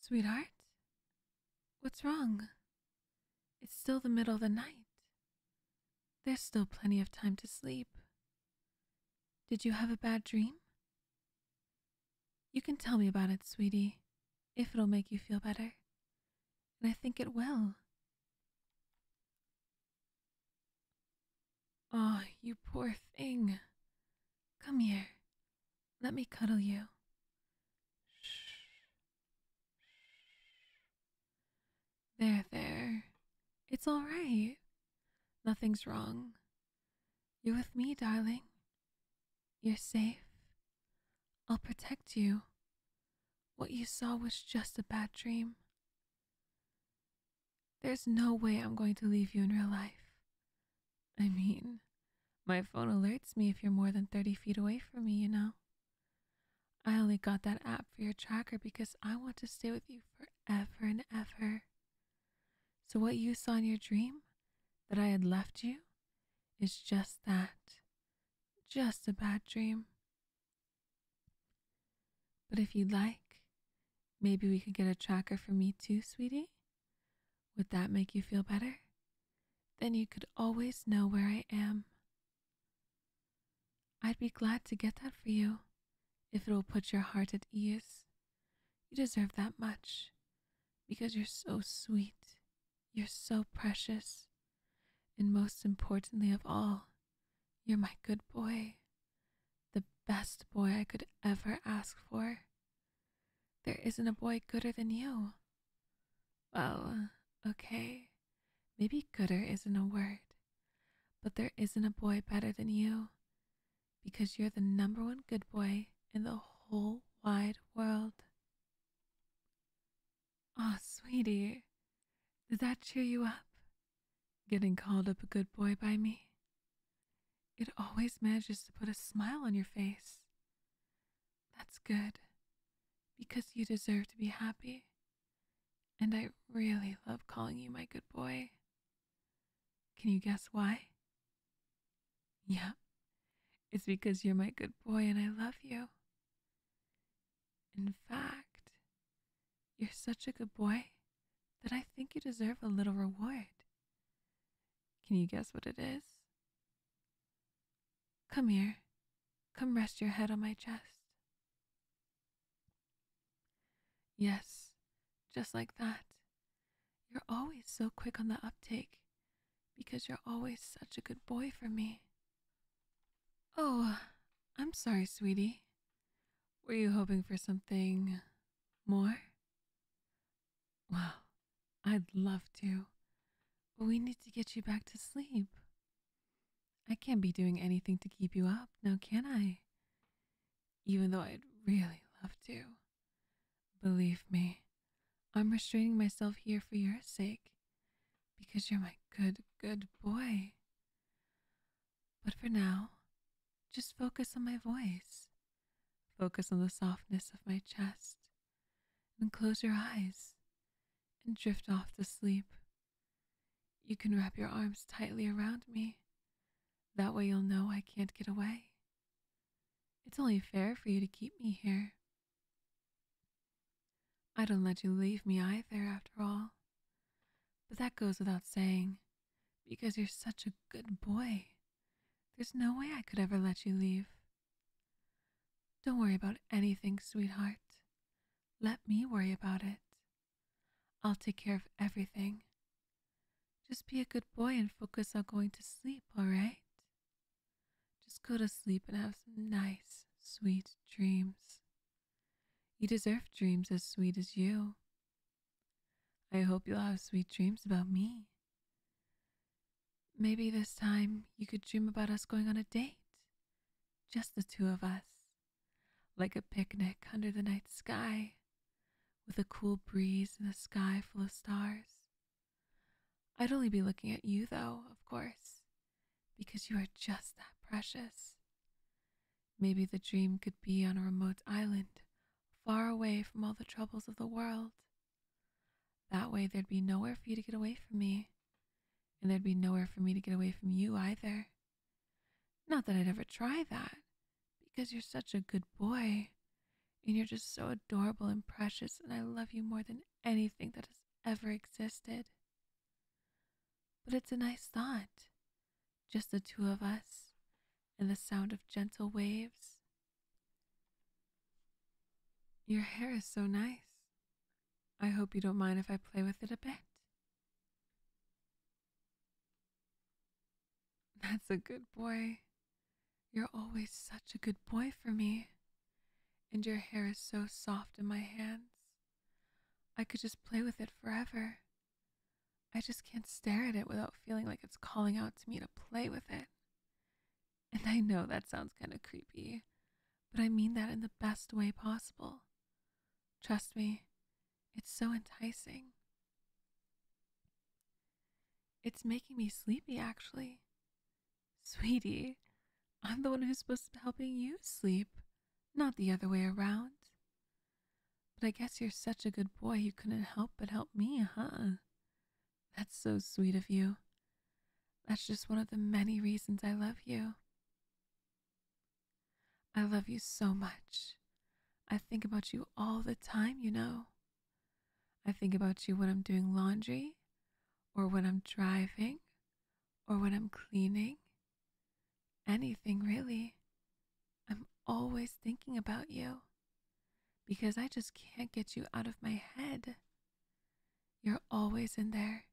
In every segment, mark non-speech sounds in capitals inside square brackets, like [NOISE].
Sweetheart? What's wrong? It's still the middle of the night. There's still plenty of time to sleep. Did you have a bad dream? You can tell me about it, sweetie, if it'll make you feel better. And I think it will. Oh, you poor thing. Come here. Let me cuddle you. Shh. There, there. It's all right. Nothing's wrong. You're with me, darling. You're safe. I'll protect you. What you saw was just a bad dream. There's no way I'm going to leave you in real life. I mean, my phone alerts me if you're more than 30 feet away from me, you know? I only got that app for your tracker because I want to stay with you forever and ever. So, what you saw in your dream, that I had left you, is just that. Just a bad dream. But if you'd like, maybe we could get a tracker for me too, sweetie? Would that make you feel better? Then you could always know where I am. I'd be glad to get that for you, if it will put your heart at ease. You deserve that much, because you're so sweet, you're so precious, and most importantly of all, you're my good boy, the best boy I could ever ask for. There isn't a boy gooder than you. Well, uh, okay, maybe gooder isn't a word, but there isn't a boy better than you because you're the number one good boy in the whole wide world. Aw, sweetie, did that cheer you up? Getting called up a good boy by me? It always manages to put a smile on your face. That's good, because you deserve to be happy. And I really love calling you my good boy. Can you guess why? Yeah, it's because you're my good boy and I love you. In fact, you're such a good boy that I think you deserve a little reward. Can you guess what it is? Come here. Come rest your head on my chest. Yes, just like that. You're always so quick on the uptake because you're always such a good boy for me. Oh, I'm sorry, sweetie. Were you hoping for something more? Well, I'd love to, but we need to get you back to sleep. I can't be doing anything to keep you up now, can I? Even though I'd really love to. Believe me, I'm restraining myself here for your sake, because you're my good, good boy. But for now, just focus on my voice. Focus on the softness of my chest. And close your eyes and drift off to sleep. You can wrap your arms tightly around me. That way you'll know I can't get away. It's only fair for you to keep me here. I don't let you leave me either, after all. But that goes without saying, because you're such a good boy. There's no way I could ever let you leave. Don't worry about anything, sweetheart. Let me worry about it. I'll take care of everything. Just be a good boy and focus on going to sleep, all right? Just go to sleep and have some nice, sweet dreams. You deserve dreams as sweet as you. I hope you'll have sweet dreams about me. Maybe this time you could dream about us going on a date. Just the two of us. Like a picnic under the night sky, with a cool breeze and a sky full of stars. I'd only be looking at you, though, of course, because you are just that precious. Maybe the dream could be on a remote island, far away from all the troubles of the world. That way, there'd be nowhere for you to get away from me, and there'd be nowhere for me to get away from you either. Not that I'd ever try that, because you're such a good boy, and you're just so adorable and precious, and I love you more than anything that has ever existed. But it's a nice thought, just the two of us, and the sound of gentle waves. Your hair is so nice. I hope you don't mind if I play with it a bit. [LAUGHS] That's a good boy. You're always such a good boy for me. And your hair is so soft in my hands. I could just play with it forever. I just can't stare at it without feeling like it's calling out to me to play with it. And I know that sounds kind of creepy, but I mean that in the best way possible. Trust me, it's so enticing. It's making me sleepy, actually. Sweetie, I'm the one who's supposed to be helping you sleep not the other way around. But I guess you're such a good boy you couldn't help but help me, huh? That's so sweet of you. That's just one of the many reasons I love you. I love you so much. I think about you all the time, you know. I think about you when I'm doing laundry, or when I'm driving, or when I'm cleaning, anything really. I'm always thinking about you because I just can't get you out of my head. You're always in there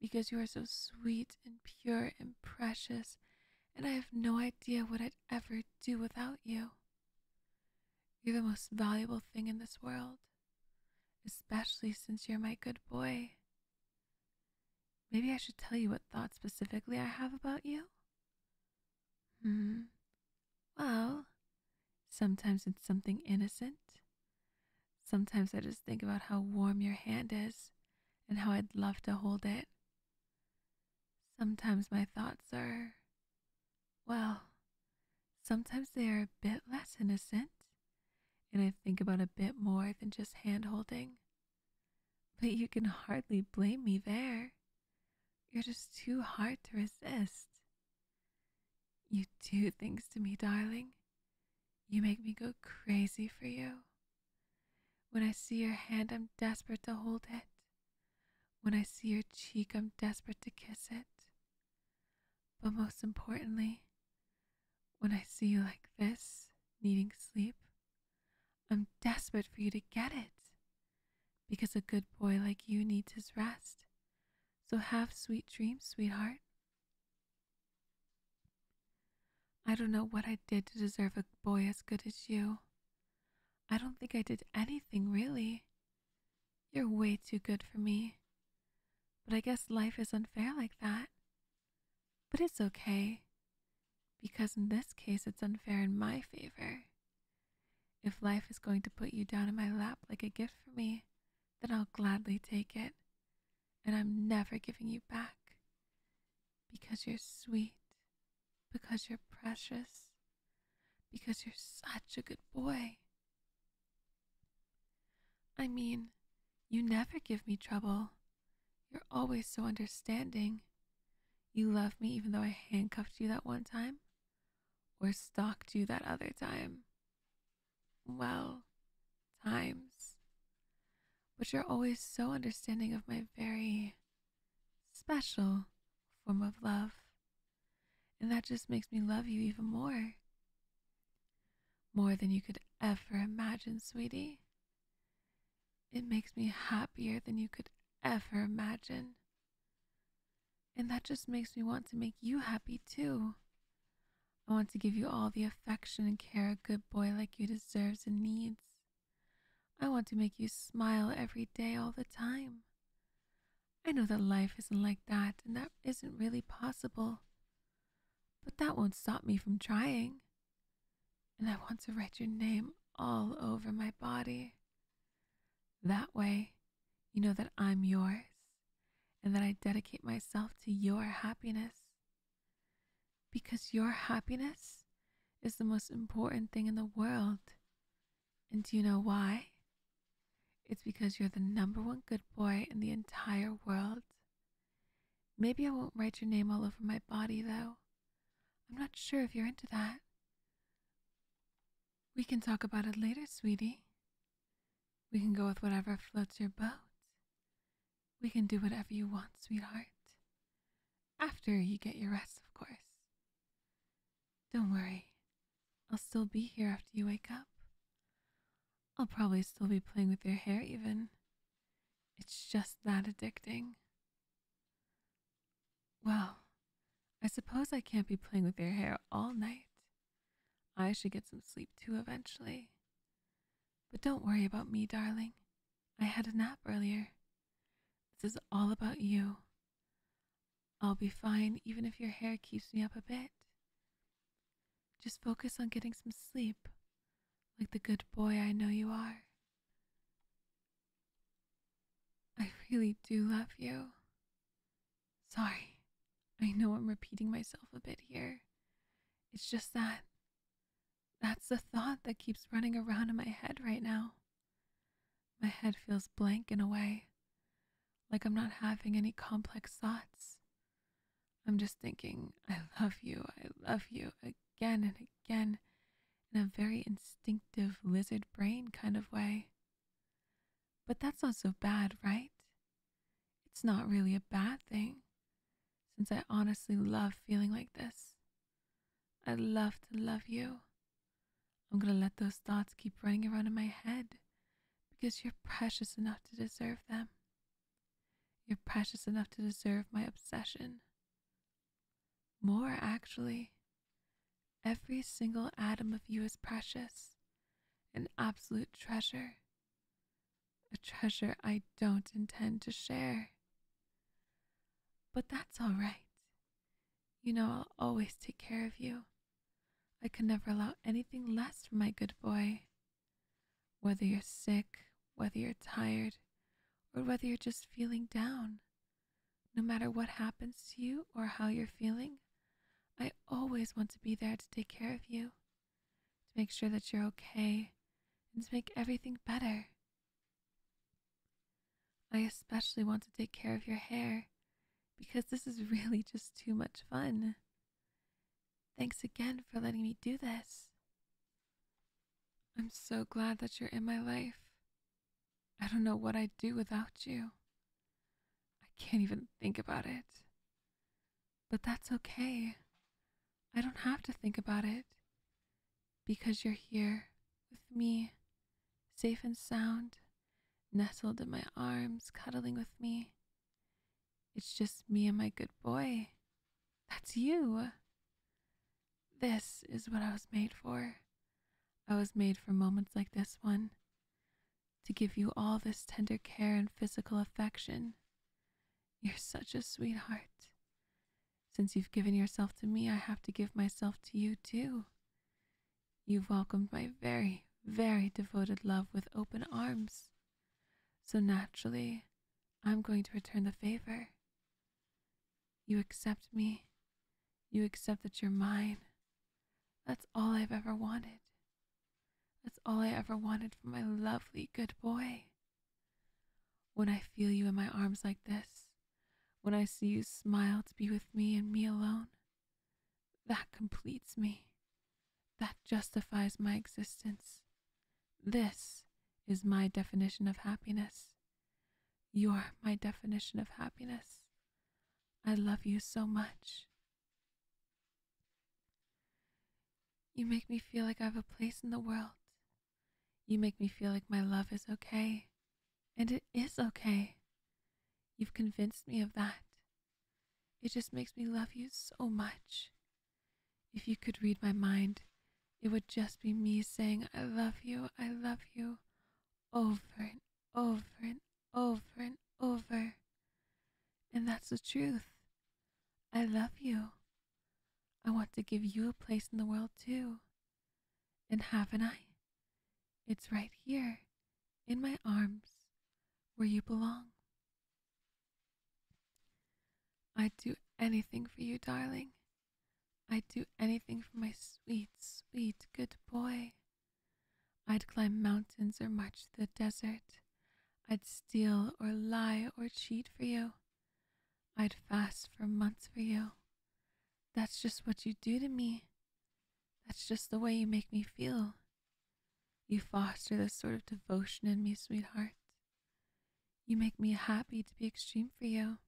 because you are so sweet and pure and precious, and I have no idea what I'd ever do without you. You're the most valuable thing in this world, especially since you're my good boy Maybe I should tell you what thoughts specifically I have about you? Hmm. Well, sometimes it's something innocent. Sometimes I just think about how warm your hand is and how I'd love to hold it. Sometimes my thoughts are, well, sometimes they are a bit less innocent and I think about a bit more than just hand holding. But you can hardly blame me there. You're just too hard to resist. You do things to me, darling. You make me go crazy for you. When I see your hand, I'm desperate to hold it. When I see your cheek, I'm desperate to kiss it. But most importantly, when I see you like this, needing sleep, I'm desperate for you to get it. Because a good boy like you needs his rest. So have sweet dreams, sweetheart. I don't know what I did to deserve a boy as good as you. I don't think I did anything, really. You're way too good for me. But I guess life is unfair like that. But it's okay, because in this case it's unfair in my favor. If life is going to put you down in my lap like a gift for me, then I'll gladly take it, and I'm never giving you back. Because you're sweet, because you're precious, because you're such a good boy. I mean, you never give me trouble. You're always so understanding. You love me even though I handcuffed you that one time, or stalked you that other time. Well, times. But you're always so understanding of my very special form of love and that just makes me love you even more. More than you could ever imagine, sweetie. It makes me happier than you could ever imagine. And that just makes me want to make you happy too. I want to give you all the affection and care a good boy like you deserves and needs. I want to make you smile every day, all the time. I know that life isn't like that and that isn't really possible, but that won't stop me from trying. And I want to write your name all over my body. That way, you know that I'm yours and that I dedicate myself to your happiness. Because your happiness is the most important thing in the world. And do you know why? It's because you're the number one good boy in the entire world. Maybe I won't write your name all over my body, though. I'm not sure if you're into that. We can talk about it later, sweetie. We can go with whatever floats your boat. We can do whatever you want, sweetheart. After you get your rest, of course. Don't worry. I'll still be here after you wake up. I'll probably still be playing with your hair, even. It's just that addicting. Well, I suppose I can't be playing with your hair all night. I should get some sleep too eventually. But don't worry about me, darling. I had a nap earlier. This is all about you. I'll be fine even if your hair keeps me up a bit. Just focus on getting some sleep, like the good boy I know you are. I really do love you. Sorry, I know I'm repeating myself a bit here. It's just that that's the thought that keeps running around in my head right now. My head feels blank in a way, like I'm not having any complex thoughts. I'm just thinking, I love you, I love you, again and again, in a very instinctive lizard brain kind of way. But that's not so bad, right? It's not really a bad thing, since I honestly love feeling like this. I love to love you, I'm going to let those thoughts keep running around in my head because you're precious enough to deserve them. You're precious enough to deserve my obsession. More, actually. Every single atom of you is precious, an absolute treasure, a treasure I don't intend to share. But that's all right. You know I'll always take care of you. I can never allow anything less from my good boy. Whether you're sick, whether you're tired, or whether you're just feeling down, no matter what happens to you or how you're feeling, I always want to be there to take care of you, to make sure that you're okay, and to make everything better. I especially want to take care of your hair because this is [LAUGHS] really just too much fun. Thanks again for letting me do this. I'm so glad that you're in my life. I don't know what I'd do without you. I can't even think about it. But that's okay. I don't have to think about it. Because you're here with me, safe and sound nestled in my arms, cuddling with me. It's just me and my good boy. That's you. This is what I was made for. I was made for moments like this one to give you all this tender care and physical affection. You're such a sweetheart. Since you've given yourself to me, I have to give myself to you too. You have welcomed my very, very devoted love with open arms. So naturally, I'm going to return the favor. You accept me. You accept that you're mine. That's all I've ever wanted. That's all I ever wanted from my lovely good boy. When I feel you in my arms like this, when I see you smile to be with me and me alone, that completes me. That justifies my existence. This is my definition of happiness. You're my definition of happiness. I love you so much. You make me feel like I have a place in the world. You make me feel like my love is okay and it is okay. You've convinced me of that. It just makes me love you so much. If you could read my mind, it would just be me saying, I love you, I love you, over and over and over and over. And that's the truth. I love you. I want to give you a place in the world too. And haven't I? It's right here, in my arms, where you belong. I'd do anything for you, darling. I'd do anything for my sweet, sweet, good boy. I'd climb mountains or march the desert. I'd steal or lie or cheat for you. I'd fast for months for you. That's just what you do to me. That's just the way you make me feel. You foster this sort of devotion in me, sweetheart. You make me happy to be extreme for you.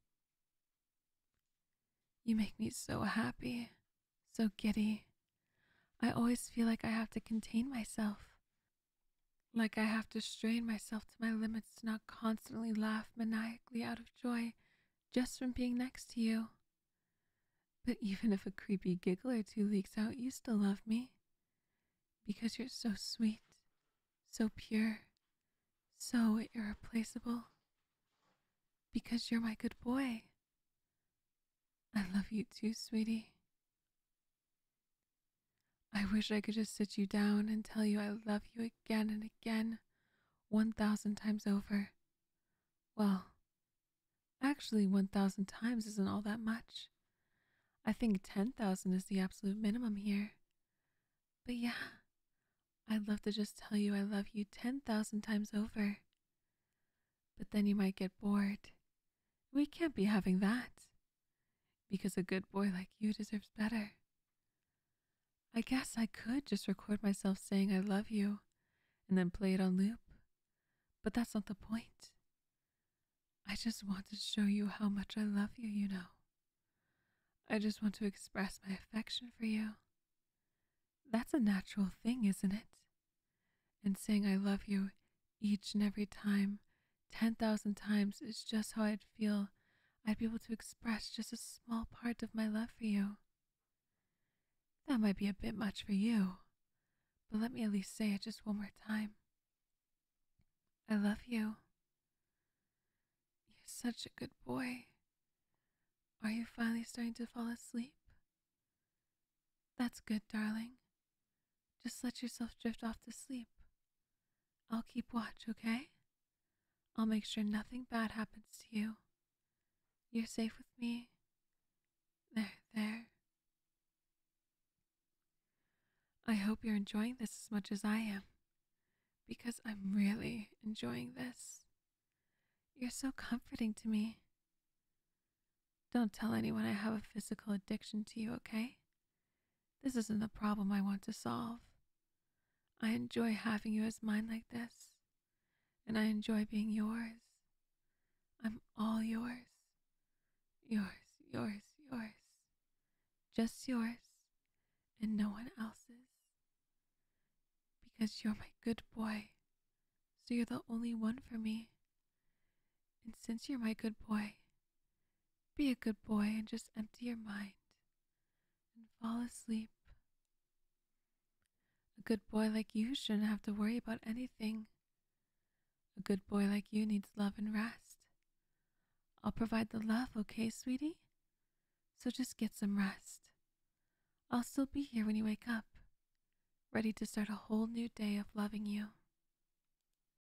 You make me so happy, so giddy. I always feel like I have to contain myself, like I have to strain myself to my limits to not constantly laugh maniacally out of joy just from being next to you. But even if a creepy giggle or two leaks out, you still love me. Because you're so sweet, so pure, so irreplaceable. Because you're my good boy. I love you too, sweetie. I wish I could just sit you down and tell you I love you again and again, 1,000 times over. Well, actually, 1,000 times isn't all that much. I think 10,000 is the absolute minimum here. But yeah, I'd love to just tell you I love you 10,000 times over. But then you might get bored. We can't be having that because a good boy like you deserves better. I guess I could just record myself saying I love you and then play it on loop, but that's not the point. I just want to show you how much I love you, you know. I just want to express my affection for you. That's a natural thing, isn't it? And saying I love you each and every time 10,000 times is just how I'd feel. I'd be able to express just a small part of my love for you. That might be a bit much for you, but let me at least say it just one more time. I love you. You're such a good boy. Are you finally starting to fall asleep? That's good, darling. Just let yourself drift off to sleep I'll keep watch, okay? I'll make sure nothing bad happens to you. You're safe with me. There, there. I hope you're enjoying this as much as I am, because I'm really enjoying this. You're so comforting to me. Don't tell anyone I have a physical addiction to you, okay? This isn't the problem I want to solve. I enjoy having you as mine like this, and I enjoy being yours. I'm all yours. Yours, yours, yours. Just yours, and no one else's. Because you're my good boy, so you're the only one for me. And since you're my good boy, be a good boy and just empty your mind and fall asleep. A good boy like you shouldn't have to worry about anything. A good boy like you needs love and rest. I'll provide the love, okay, sweetie? So just get some rest. I'll still be here when you wake up, ready to start a whole new day of loving you.